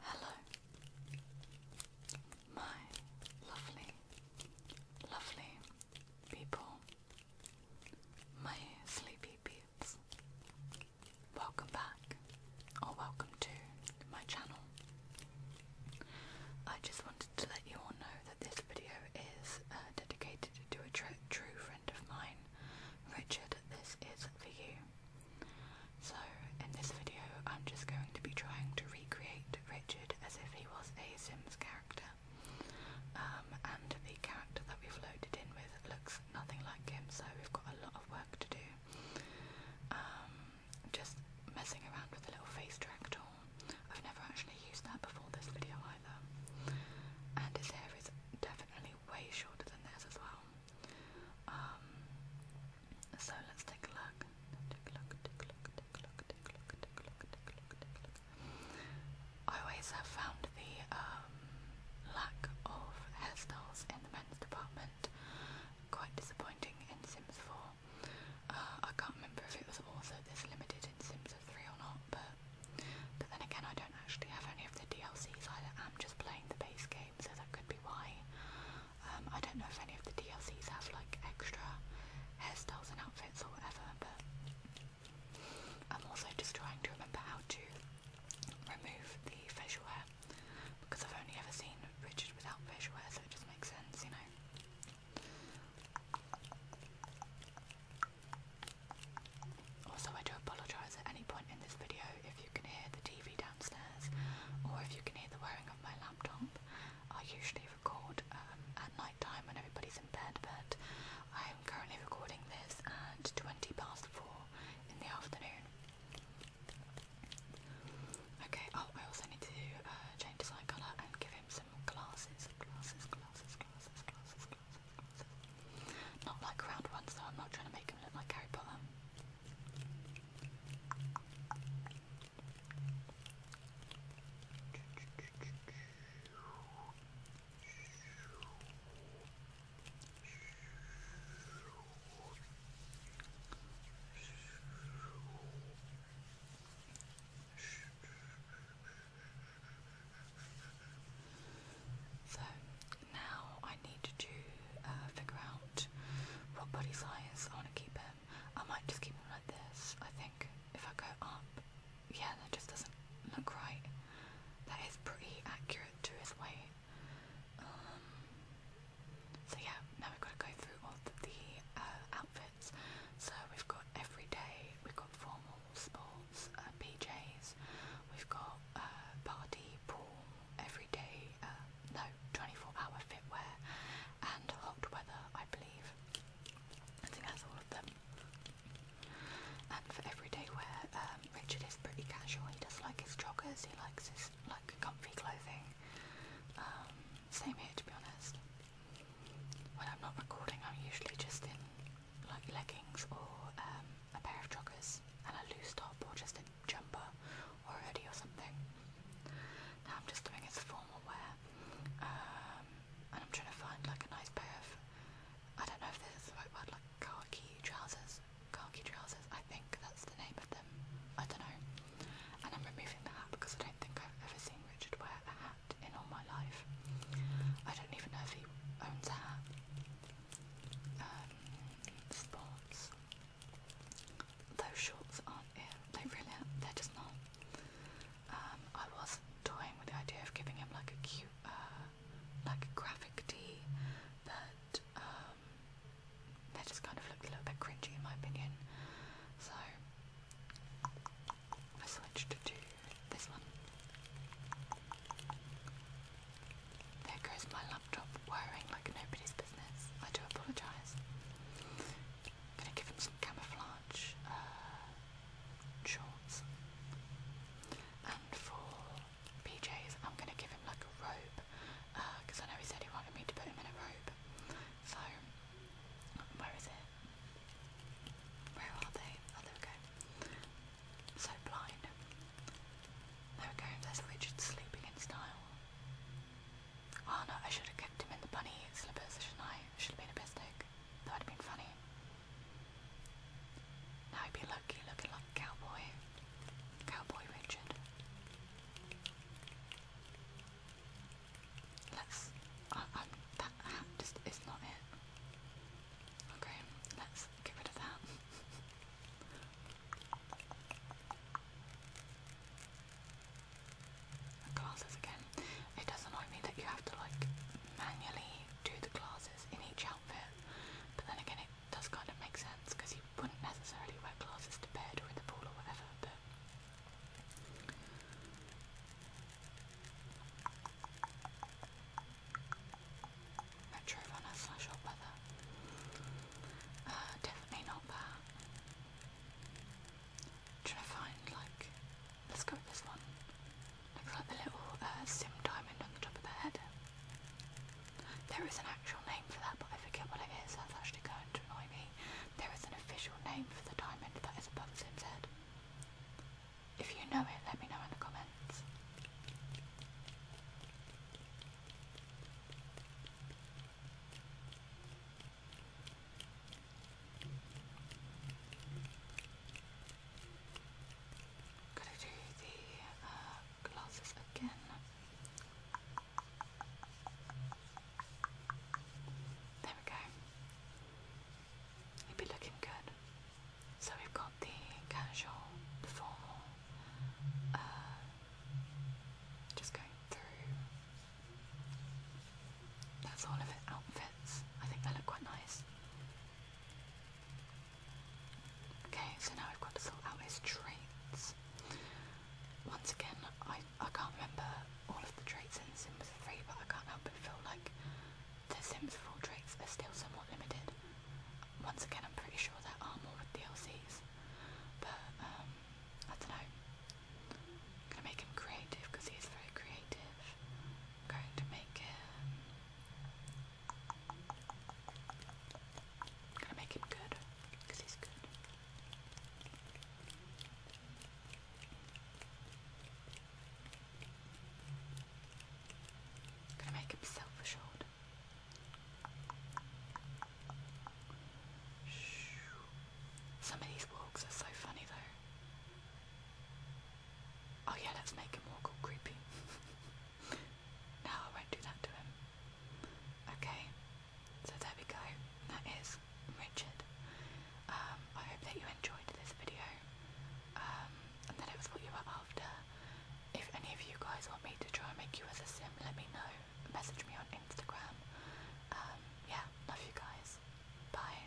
Hello, my lovely, lovely people, my sleepy peeps. Welcome back, or welcome to my channel. I just wanted to let you all know that this video is uh, dedicated to a true friend of mine, Richard. This is for you. So, in this video, I'm just going to be trying to recreate Richard as if he was a Sims character. Um, and the character that we've loaded in with looks nothing like him, so we've got a lot of work to do. Um, just messing around with a little face tracker. I've never actually used that before this video either. And his hair is definitely way shorter than theirs as well. Um, so let's take a look. I always have found the um, lack of hairstyles in the men's department quite disappointing in Sims 4. Uh, I can't remember if it was also this limited in Sims 3 or not, but, but then again, I don't actually have any of the DLCs I'm just playing the base game, so that could be why. Um, I don't know if any of the DLCs have like extra hairstyles and outfits or whatever, but I'm also just trying to remember how to remove the facial hair because I've only ever seen Richard without facial hair, so it just makes sense, you know. Also, I do apologise at any point in this video if you can hear the TV downstairs or if you can hear the whirring of my laptop. I usually record um, at night time when everybody's in bed, but I am currently recording this at 20 past 4 in the afternoon. Okay, oh, I also need to uh, change his eye colour and give him some glasses, glasses, glasses, glasses, glasses, glasses. Not like round ones though, I'm not trying to make them look like Harry Potter. So now I need to uh, figure out what body size I want to keep him. I might just keep him like this. I think if I go up, yeah, that just doesn't look right. That is pretty accurate to his weight. Um, so yeah, now we've got to go through all the, uh, outfits. So we've got everyday, we've got formal sports, uh, PJs, we've got uh, party, pool, everyday, uh, um, no, 24 hour fitwear, and hot weather, I believe. I think that's all of them. And for everyday wear, um, Richard is pretty casual. He does like his joggers, he likes his like comfy clothing. Um, same here, to be honest. When I'm not recording, I'm usually just in like leggings or um, a pair of joggers and a loose top, or just a jumper or hoodie or something. Now I'm just doing it as formal wear, um, and I'm trying to find like a nice pair of I don't know if this is the right word, like khaki trousers. Khaki trousers, I think that's the name of them. I don't know. And I'm removing the hat because I don't think I've ever seen Richard wear a hat in all my life. I don't even know if he owns a hat. Um, sports. Those shorts aren't it. They really aren't. They're just not. Um, I was toying with the idea of giving him like a cute, uh, like a graphic tee, but um, they just kind of looked a little bit cringy in my opinion. So I switched to this one. There goes my laptop whirring like nobody's business. I do apologise. I'm gonna give him some camouflage uh, shorts. And for PJs, I'm gonna give him like a robe because uh, I know he said he wanted me to put him in a robe. So, where is it? Where are they? Oh, there we go. So blind. There we go, there's Richard sleeping in style. Oh no, I should have kept him in the bunny slippers, should I? Should have been a mistake. That would have been funny. Now he'd be lucky looking like a cowboy. Cowboy Richard. Let's. Uh, um, that just is not it. Okay, let's get rid of that. Classes again. It does annoy me that you have to like manually do the classes in each outfit, but then again, it does kind of make sense because you wouldn't necessarily wear glasses to bed or in the pool or whatever. Retro runner slash hot weather. Uh, definitely not that. Trying to find like, let's go with this one. Looks like the little uh, sim diamond on the top of the head. There is an actual name for that, but I forget what it is. That's actually going to annoy me there is an official name for the diamond that is above Zim's head. If you know it, let me know in the comments. Could I do the uh, glasses again? There we go. It'd be looking good. So we've got the casual, the formal, uh, just going through. That's all of it. Outfits. I think they look quite nice. Okay, so now we've got to sort out his traits once again, I, I can't remember all of the traits in Sims 3, but I can't help but feel like the Sims 4 traits are still somewhat limited. Once again, I'm pretty sure there are more with DLCs, but um, I don't know. I'm gonna make him creative because he's very creative. going to make him. gonna make him good gonna make him self-assured. Some of these walks are so funny though. Oh yeah, let's make him walk all creepy. No, I won't do that to him. Okay, so there we go. That is Richard. Um, I hope that you enjoyed this video um, and that it was what you were after. If any of you guys want me to try and make you as a sim, let me know. Message me on Instagram. Um, yeah, love you guys. Bye.